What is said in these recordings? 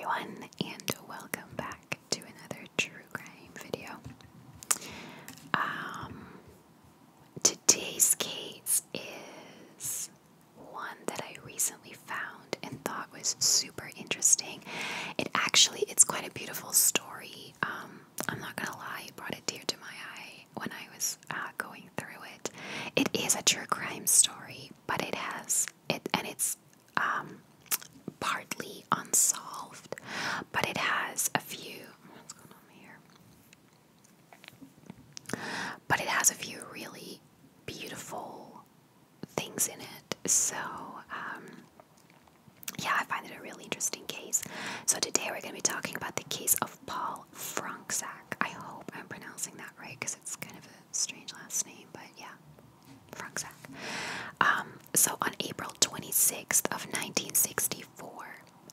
everyone and welcome back to another true crime video. Um, today's case is one that I recently found and thought was super interesting. It actually it's quite a beautiful story. Um, I'm not gonna lie, it brought a tear to my eye when I was uh, going through it. It is a true crime story, but it has it, and it's um, partly unsolved. But it has a few. What's going on here? But it has a few really beautiful things in it. So. Um, yeah, I find it a really interesting case. So today we're going to be talking about the case of Paul L. I hope I'm pronouncing that right because it's kind of a strange last name, but yeah, Frankzak. Um, so on April 26th of 1964,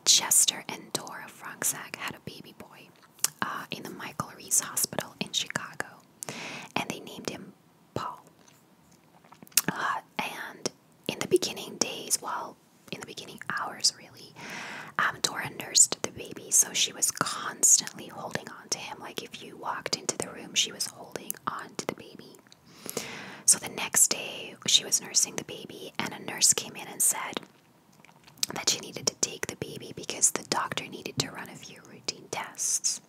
Chester and Dora Frankzak had a baby boy uh, in the Michael Reese Hospital in Chicago, and they named him Paul. Uh, and in the beginning days, while in the beginning hours really, um, Dora nursed the baby, so she was constantly holding on to him. Like if you walked into the room, she was holding on to the baby. So the next day, she was nursing the baby, and a nurse came in and said that she needed to take the baby because the doctor needed to run a few routine tests.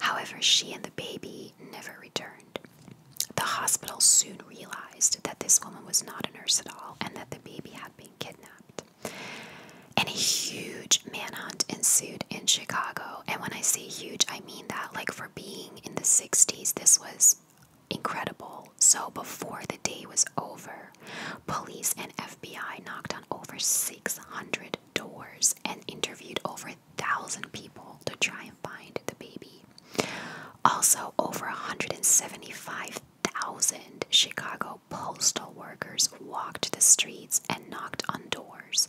However, she and the baby never returned. The hospital soon realized that this woman was not a nurse at all and that the baby had been kidnapped. And a huge manhunt ensued in Chicago. And when I say huge, I mean that, like, for being in the 60s, this was incredible. So before the day was over, police and FBI knocked on over 600 doors and interviewed over a thousand people to try and find the baby. Also, over 175 thousand Chicago postal workers walked the streets and knocked on doors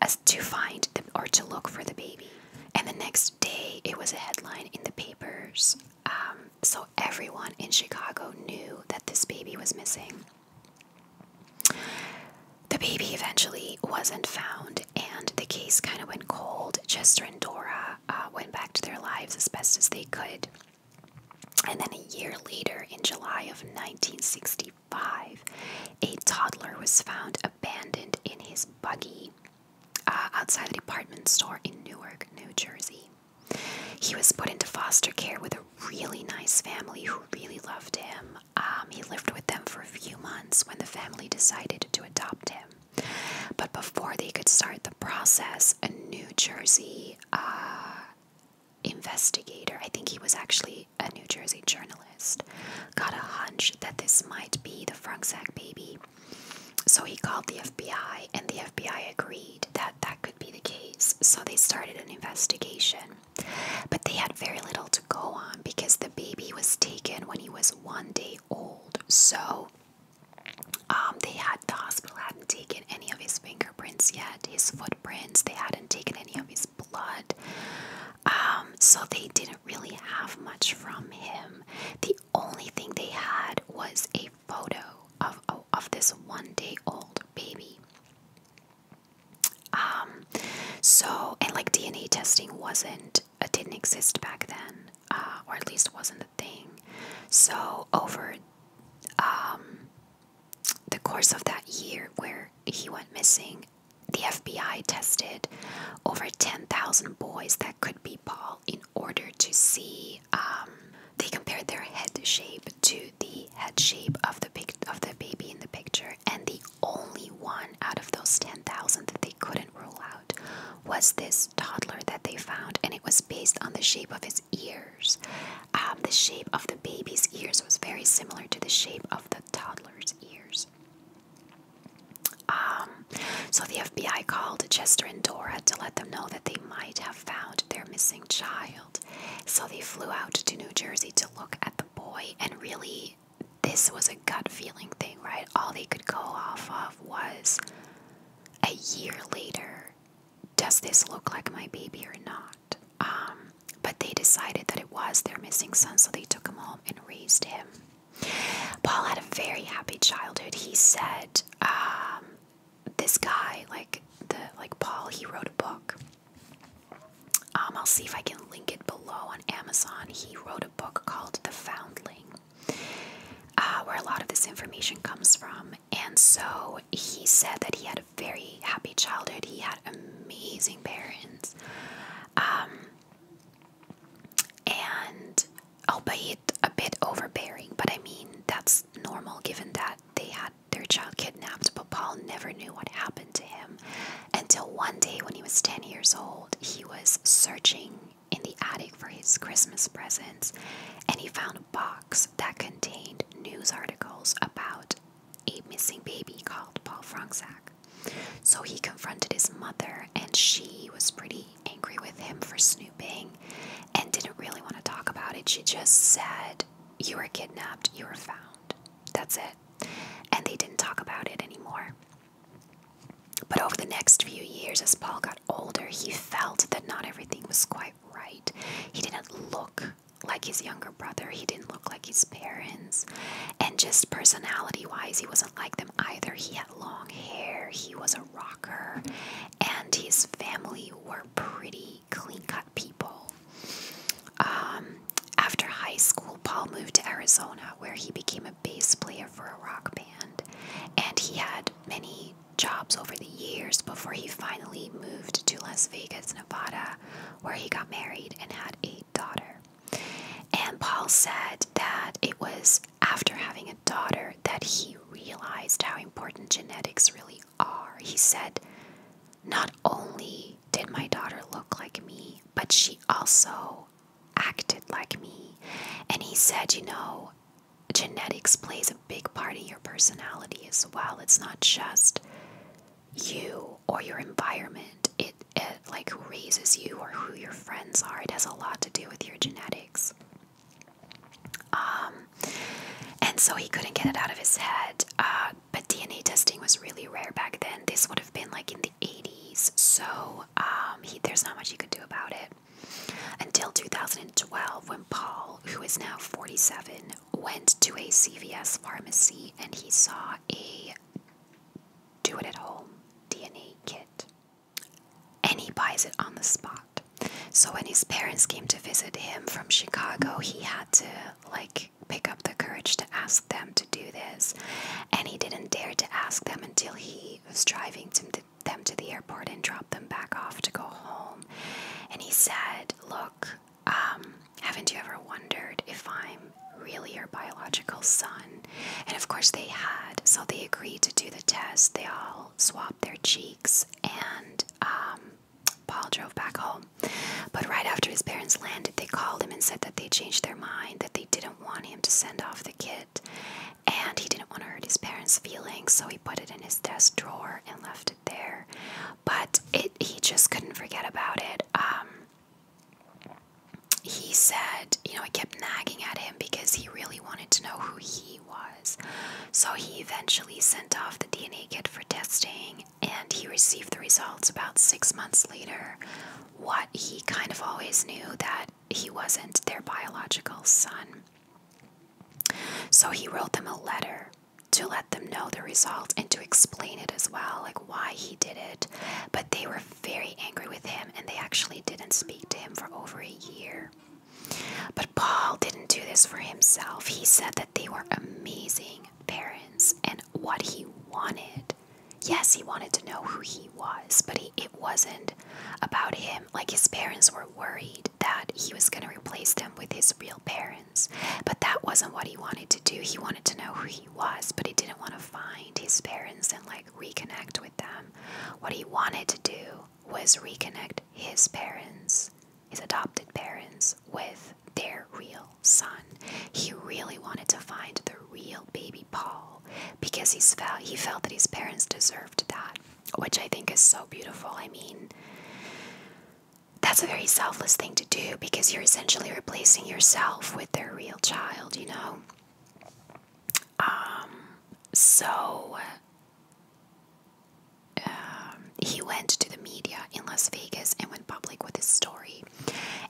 as to find or to look for the baby. And the next day, it was a headline in the papers. Um, so everyone in Chicago knew that this baby was missing. The baby eventually wasn't found, and the case kind of went cold. Chester and Dora uh, went back to their lives as best as they could. And then a year later, in July of 1965, a toddler was found abandoned in his buggy uh, outside the department store in Newark, New Jersey. He was put into foster care with a really nice family who really loved him. Um, he lived with them for a few months when the family decided to adopt him. But before they could start the process, a New Jersey uh, investigator, I think he was actually a New Jersey journalist, got a hunch that this might be the Frank baby. So he called the FBI, and the FBI agreed that that could be the case. So they started an investigation. But they had very little to go on because the baby was taken when he was one day old. So um, they had the hospital hadn't taken any of his fingerprints yet, his footprints. They hadn't taken any of his blood, um, so they didn't really have much from him. The only thing they had was a photo of oh, of this one-day-old baby. Um, so and like DNA testing wasn't, it uh, didn't exist back then uh, or at least wasn't a thing. So over um, the course of that year where he went missing, the FBI tested over 10,000 boys that could be Paul in order to see. Um, they compared their head shape to the head shape of the pic of the baby in the picture, and the only one out of those 10,000 that they couldn't rule out was this toddler that they found, and it was based on the shape of his ears. Um, the shape of the baby's ears was very similar to the shape of the toddler's ears. Um, so the FBI called Chester and Dora to let them know that they might have found their missing child. So they flew out to New Jersey to look at the boy and really this was a gut feeling thing, right? All they could go off of was a year later, does this look like my baby or not? Um, but they decided that it was their missing son, so they took him home and raised him. Paul had a very happy childhood. He said, um, this guy, like the like Paul, he wrote a book. Um, I'll see if I can link it below on Amazon. He wrote a." book called The Foundling, uh, where a lot of this information comes from. And so he said that he had a very happy childhood, he had amazing parents. Um, and I'll be a bit overbearing, but I mean, that's normal given that they had their child kidnapped, but Paul never knew what happened to him until one day when he was 10 years old. He was searching in the attic for his Christmas presents and he found a box that contained news articles about a missing baby called Paul Franksack. So he confronted his mother and she was pretty angry with him for snooping and didn't really want to talk about it. She just said, You were kidnapped, you were found. That's it. And they didn't talk about it anymore. But over the next few years, as Paul got older, he felt that not everything was quite right. He didn't look like his younger brother, he didn't look like his parents, and just personality wise, he wasn't like them either. He had long hair, he was a rocker, and his family were pretty clean cut people. Um, after high school, Paul moved to Arizona where he became a bass player for a rock band, and he had many jobs over the years before he finally moved to Las Vegas, Nevada, where he got married and had a daughter. And Paul said that it was after having a daughter that he realized how important genetics really are. He said, Not only did my daughter look like me, but she also acted like me. And he said, you know, genetics plays a big part of your personality as well. It's not just you or your environment, it, like who raises you or who your friends are. It has a lot to do with your genetics. Um, and so he couldn't get it out of his head. Uh, but DNA testing was really rare back then. This would have been like in the 80s so um, there's not much he can do about it. Until 2012, when Paul, who is now 47, went to a CVS pharmacy and he saw a do it at home DNA kit. And he buys it on the spot. So when his parents came to visit him from Chicago, he had to like pick up the courage to ask them to do this. And he didn't dare to ask them until he was driving them to the airport and dropped them back off to go home. And he said, Look, um, haven't you ever wondered if I'm really your biological son? And of course they had. So they agreed to do the test. They all swapped their cheeks, and um, Paul drove back home. But right after his parents landed, they called him and said that they changed their mind, that they didn't want him to send off the kit, and he didn't want to hurt his parents' feelings, so he put it in his desk drawer and left it there. But it he just couldn't forget about it. Um, he said, you know, I kept nagging at him because he really wanted to know who he was. So he eventually sent off the DNA kit for testing and he received the results about six months later. What he kind of always knew that he wasn't their biological son. So he wrote them a letter to let them know the result and to explain it as well, like why he did it. But they were very angry with him and they actually didn't speak to him for over a year. But Paul didn't do this for himself. He said that they were amazing parents and what he wanted Yes, he wanted to know who he was, but it wasn't about him. Like his parents were worried that he was going to replace them with his real parents, but that wasn't what he wanted to do. He wanted to know who he was, but he didn't want to find his parents and like reconnect with them. What he wanted to do was reconnect his parents, his adopted parents, with their real son. He really wanted to find the real baby Paul because he's felt, he felt that his parents deserved that, which I think is so beautiful. I mean, that's a very selfless thing to do because you're essentially replacing yourself with their real child, you know? Um, so. Um, he went to the media in Las Vegas and went public with his story.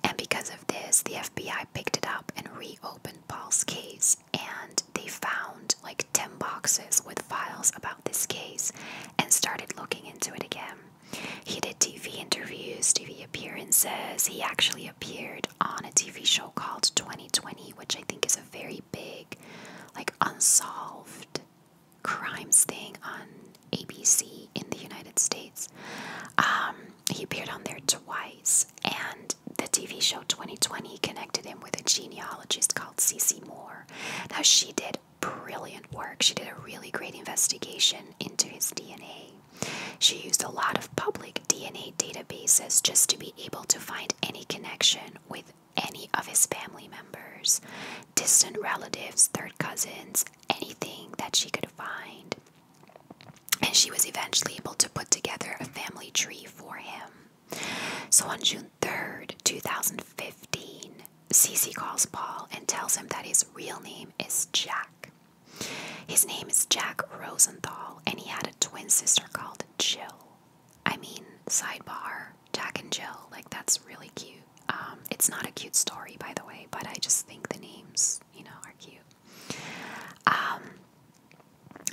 And because of this, the FBI picked it up and reopened Paul's case, and they found like 10 boxes with files about this case and started looking into it again. He did TV interviews, TV appearances. He actually appeared on a TV show called 2020, which I think is a very big, like, unsolved crimes thing on ABC in the United States. Um, he appeared on there twice, and the TV show 2020 connected him with a genealogist called Cece Moore. Now, she did brilliant work. She did a really great investigation into his DNA. She used a lot of public DNA databases just to be able to find any connection with any of his family members distant relatives, third cousins, anything that she could find. And she was eventually able to put together a family tree for him. So on June 3rd, 2015, Cece calls Paul and tells him that his real name is Jack. His name is Jack Rosenthal, and he had a twin sister called Jill. I mean, sidebar, Jack and Jill, like that's really cute. Um, it's not a cute story, by the way, but I just think the names, you know, are cute. Um,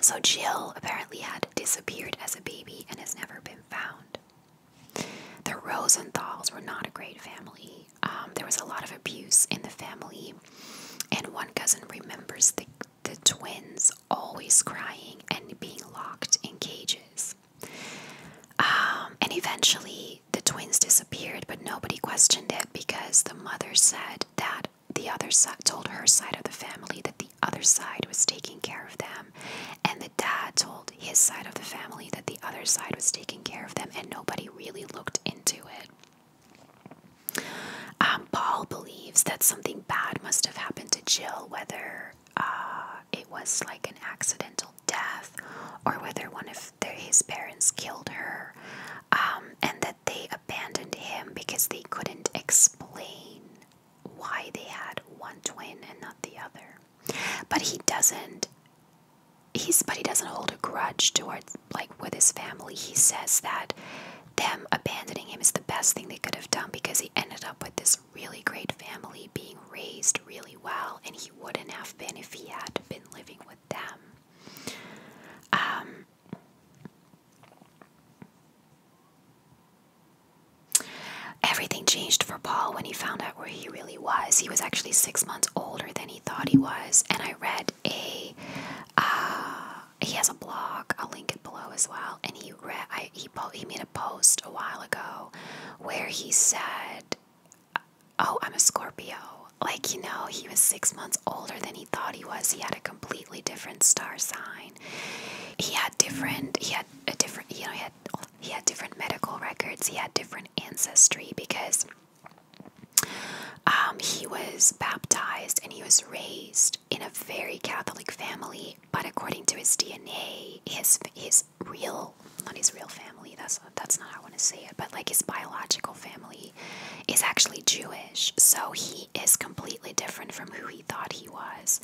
so Jill apparently had disappeared as a baby and has never been found. The Rosenthals were not a great family. Um, there was a lot of abuse in the family, and one cousin remembers the, the twins always crying and being locked in cages. and eventually, the twins disappeared, but nobody questioned it because the mother said that the other side told her side of the family that the other side was taking care of them, and the dad told his side of the family that the other side was taking care of them, and nobody really looked into it. Um, Paul believes that something bad must have happened to Jill, whether uh, it was like an accidental death or whether one of his parents killed her, um, and that they abandoned him because they couldn't explain why they had one twin and not the other. But he doesn't. He's but he doesn't hold a grudge towards like with his family. He says that them abandoning him is the best thing they could have done because he ended up with this really great family being raised really well, and he wouldn't have been if he had been living with them. Um, everything changed for Paul when he found out where he really was. He was actually six months older than he thought he was, and I read a. Uh, he has a blog. I'll link it below as well. And he read. he he made a post a while ago where he said oh, I'm a Scorpio. Like, you know, he was six months older than he thought he was. He had a completely different star sign. He had different, he had a different, you know, he had, he had different medical records. He had different ancestry because um, he was baptized and he was raised in a very Catholic family. But according to his DNA, his, his real not his real family that's that's not how I want to say it but like his biological family is actually Jewish so he is completely different from who he thought he was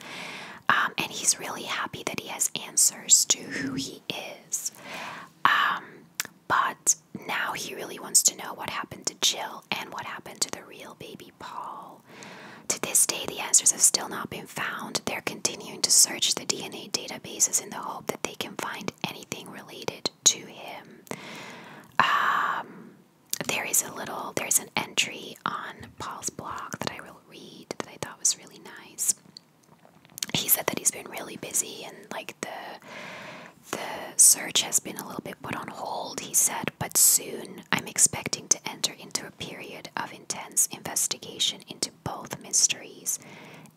um, and he's really happy that he has answers to who he is um, but now he really wants to know what happened to Jill and what happened to the real baby Paul to this day the answers have still not been found, they're continuing to search the DNA databases in the hope that they can find anything related to him. Um, there is a little, there's an entry on Paul's blog that I will read that I thought was really nice. He said that he's been really busy and like the the search has been a little bit put on hold. He said, but soon I'm expecting to enter into a period of intense investigation into both mysteries,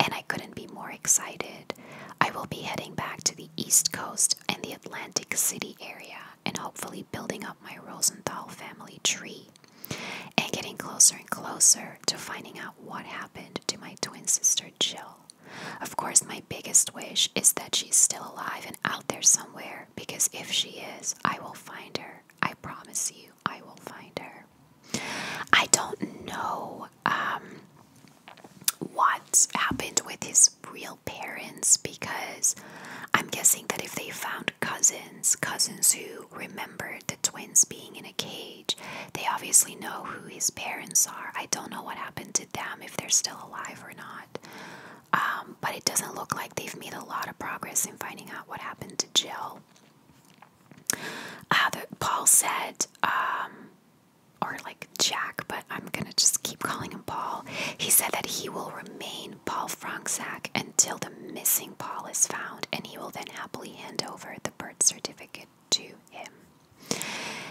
and I couldn't be more excited. I will be heading back to the East Coast and the Atlantic City area and hopefully building up my Rosenthal family tree and getting closer and closer to finding out what happened to my twin sister Jill. Of course, my biggest wish is that she's still alive and out there somewhere because if she is, I will find her. I promise you. I will find her. I don't know um, what happened with his real parents because I'm guessing that if they found cousins, cousins who remembered the twins being in a cage, they obviously know who his parents are. I don't know what happened to them, if they're still alive or not. Um, but it doesn't look like they've made a lot of progress in finding out what happened to Jill. Uh, Paul said, um, or like Jack, but I'm going to just keep calling him Paul. He said that he will remain Paul Franksack until the missing Paul is found, and he will then happily hand over the birth certificate to him.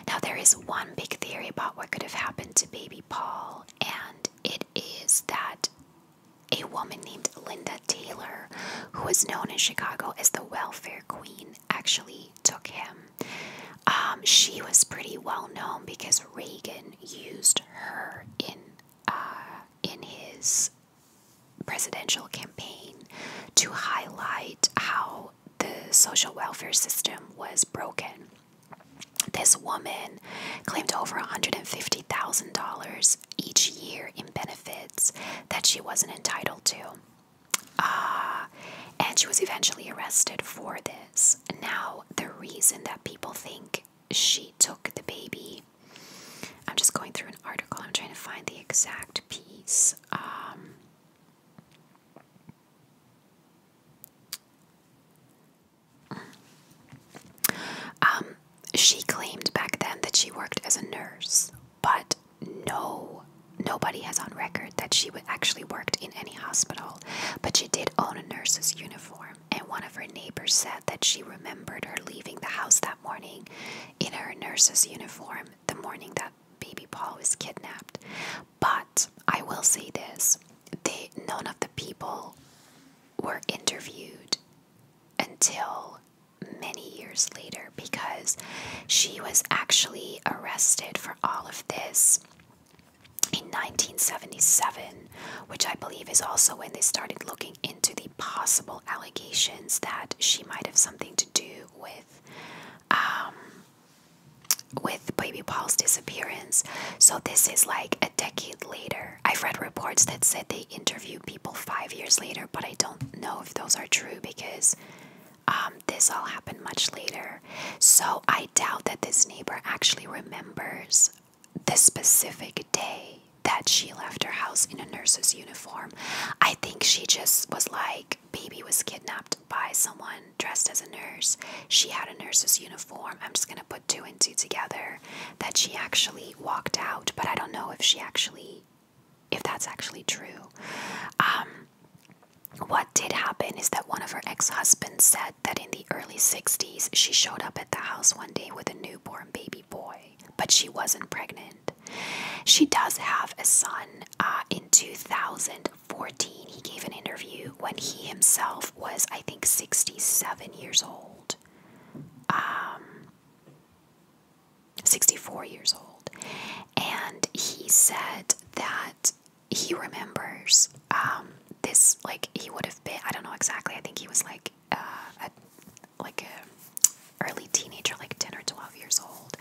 Now, there is one big theory about what could have happened to baby Paul, and it is that a woman named Linda Taylor, who was known in Chicago as the welfare queen, actually took him. Um, she was pretty well known because Reagan used her in uh, in his presidential campaign to highlight how the social welfare system was broken. This woman claimed over $150,000 each year in benefits that she wasn't entitled to. Uh, and she was eventually arrested for this. Now, the reason that people think she took the baby, I'm just going through an article, I'm trying to find the exact piece. Um, um, she claimed back then that she worked as a nurse, but no, nobody has on record that she actually worked in any hospital. But she did own a nurse's uniform, and one of her neighbors said that she remembered her leaving the house that morning in her nurse's uniform the morning that baby Paul was kidnapped. But I will say this: none of the people were interviewed until many years later because she was actually arrested for all of this in 1977, which I believe is also when they started looking into the possible allegations that she might have something to do with. Um, with baby Paul's disappearance. So, this is like a decade later, I've read reports that said they interview people five years later, but I don't know if those are true because um, this all happened much later. So I doubt that this neighbor actually remembers the specific day that she left her house in a nurse's uniform. I think she just was like, baby was kidnapped by someone dressed as a nurse. She had a nurse's uniform I'm just going to put two and two together, that she actually walked out, but I don't know if she actually, if that's actually true. Um, what did happen is that one of her ex husbands said that in the early 60s she showed up at the house one day with a newborn baby boy, but she wasn't pregnant. She does have a son. Uh, in 2014, he gave an interview when he himself was, I think, 67 years old old, um, 64 years old, and he said that he remembers um, this like he would have been I don't know exactly I think he was like uh, a, like a early teenager like 10 or 12 years old.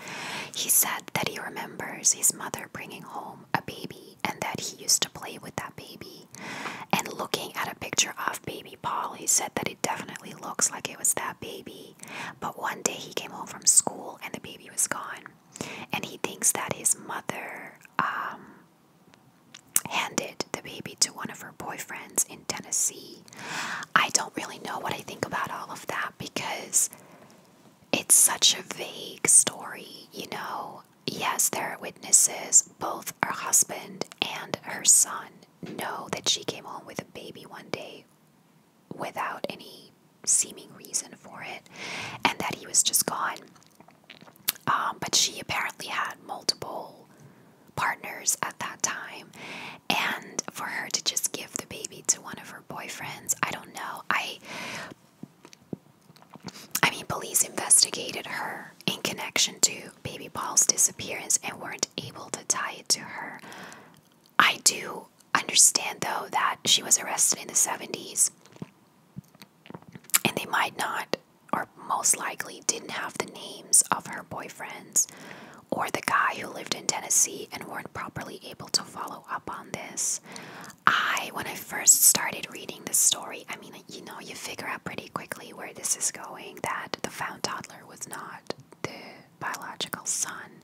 He said that he remembers his mother bringing home a baby and that he used to play with that baby. And looking at a picture of baby Paul, he said that it definitely looks like it was that baby. But one day he came home from school and the baby was gone. And he thinks that his mother um, handed the baby to one of her boyfriends in Tennessee. I don't really know what I think about all of that because it's such a vague story, you know yes, there are witnesses. Both her husband and her son know that she came home with a baby one day without any seeming reason for it and that he was just gone. Um, but she apparently had multiple partners at that time, and for her to just give the baby to one of her boyfriends, I don't know. I I mean, police investigated her in connection to baby Paul's disappearance and weren't able to tie it to her. I do understand, though, that she was arrested in the 70s, and they might not, or most likely, didn't have the names of her boyfriends or the guy who lived in Tennessee and weren't properly able to follow up on this. I, when I first started reading this story, I mean, you know, you figure out pretty quickly where this is going that the found toddler was not the biological son.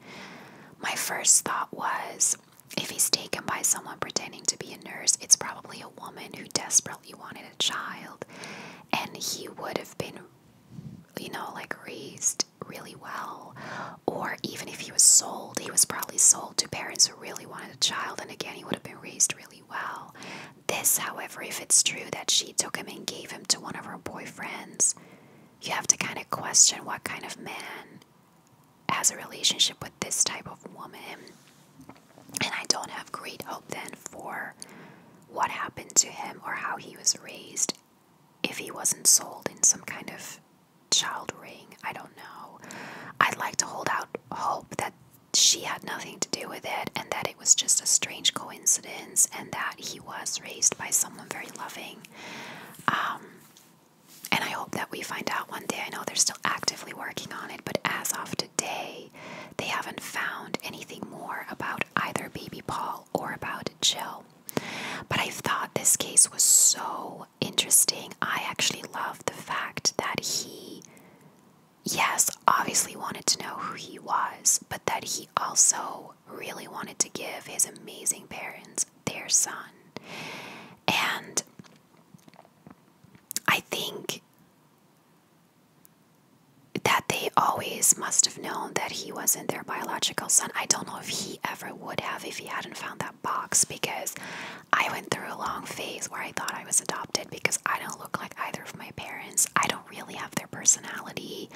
My first thought was if he's taken by someone pretending to be a nurse, it's probably a woman who desperately wanted a child, and he would have been, you know, like raised really well. Or even if he was sold, he was probably sold to parents who really wanted a child, and again, he would have been raised really well. This, however, if it's true that she took him and gave him to one of her boyfriends, you have to kind of question what kind of man has a relationship with this type of woman. And I don't have great hope then for what happened to him or how he was raised if he wasn't sold in some kind of child ring. I don't know. I'd like to hold out hope that she had nothing to do with it and that it was just a strange coincidence and that he was raised by someone very loving. Um, and I hope that we find out one day. I know they're still actively working on it, but as of today, they haven't found anything more about either baby Paul or about Jill. But I thought this case was so interesting. I actually love the fact that he, yes, obviously wanted to know who he was, but that he also really wanted to give his amazing parents their son. And I think that they always must have known that he wasn't their biological son. I don't know if he ever would have if he hadn't found that box because I went through a long phase where I thought I was adopted because I don't look like either of my parents. I don't really have their personality.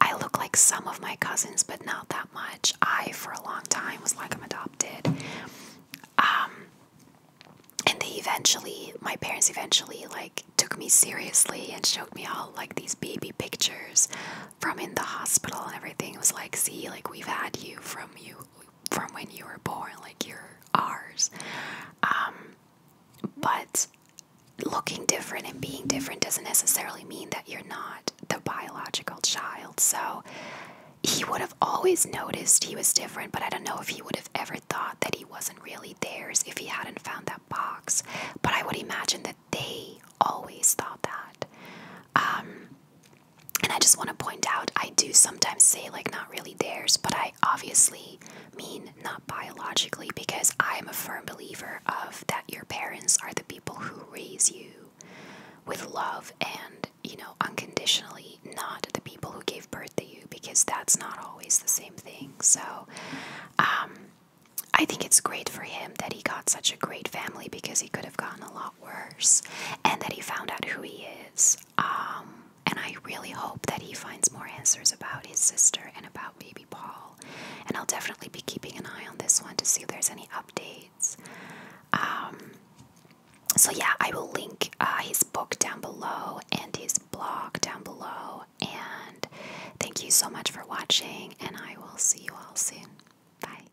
I look like some of my cousins, but not that much. I, for a long time, was like I'm adopted. Um, and they eventually, my parents eventually, like, took me seriously and showed me all, like, these baby pictures from in the hospital and everything. It was like, see, like, we've had you from you from when you were born, like you're ours. Um, but looking different and being different doesn't necessarily mean that you're not the biological child. So he would have always noticed he was different, but I don't know if he would have ever thought that he wasn't really theirs if he hadn't found that box. But I would imagine that they always thought that. Um, and I just want to point out I do sometimes say, like, not really theirs, but I obviously mean not biologically because I'm a firm believer of that your parents are the people who raise you with love and, you know, unconditionally, not the people who gave birth to you because that's not always the same thing. So, um, I think it's great for him that he got such a great family because he could have gotten a lot worse, and that he found out who he is. Um, and I really hope that he finds more answers about his sister and about baby Paul. And I'll definitely be keeping an eye on this one to see if there's any updates. Um, so, yeah, I will link uh, his book down below and his blog down below. And thank you so much for watching, and I will see you all soon. Bye.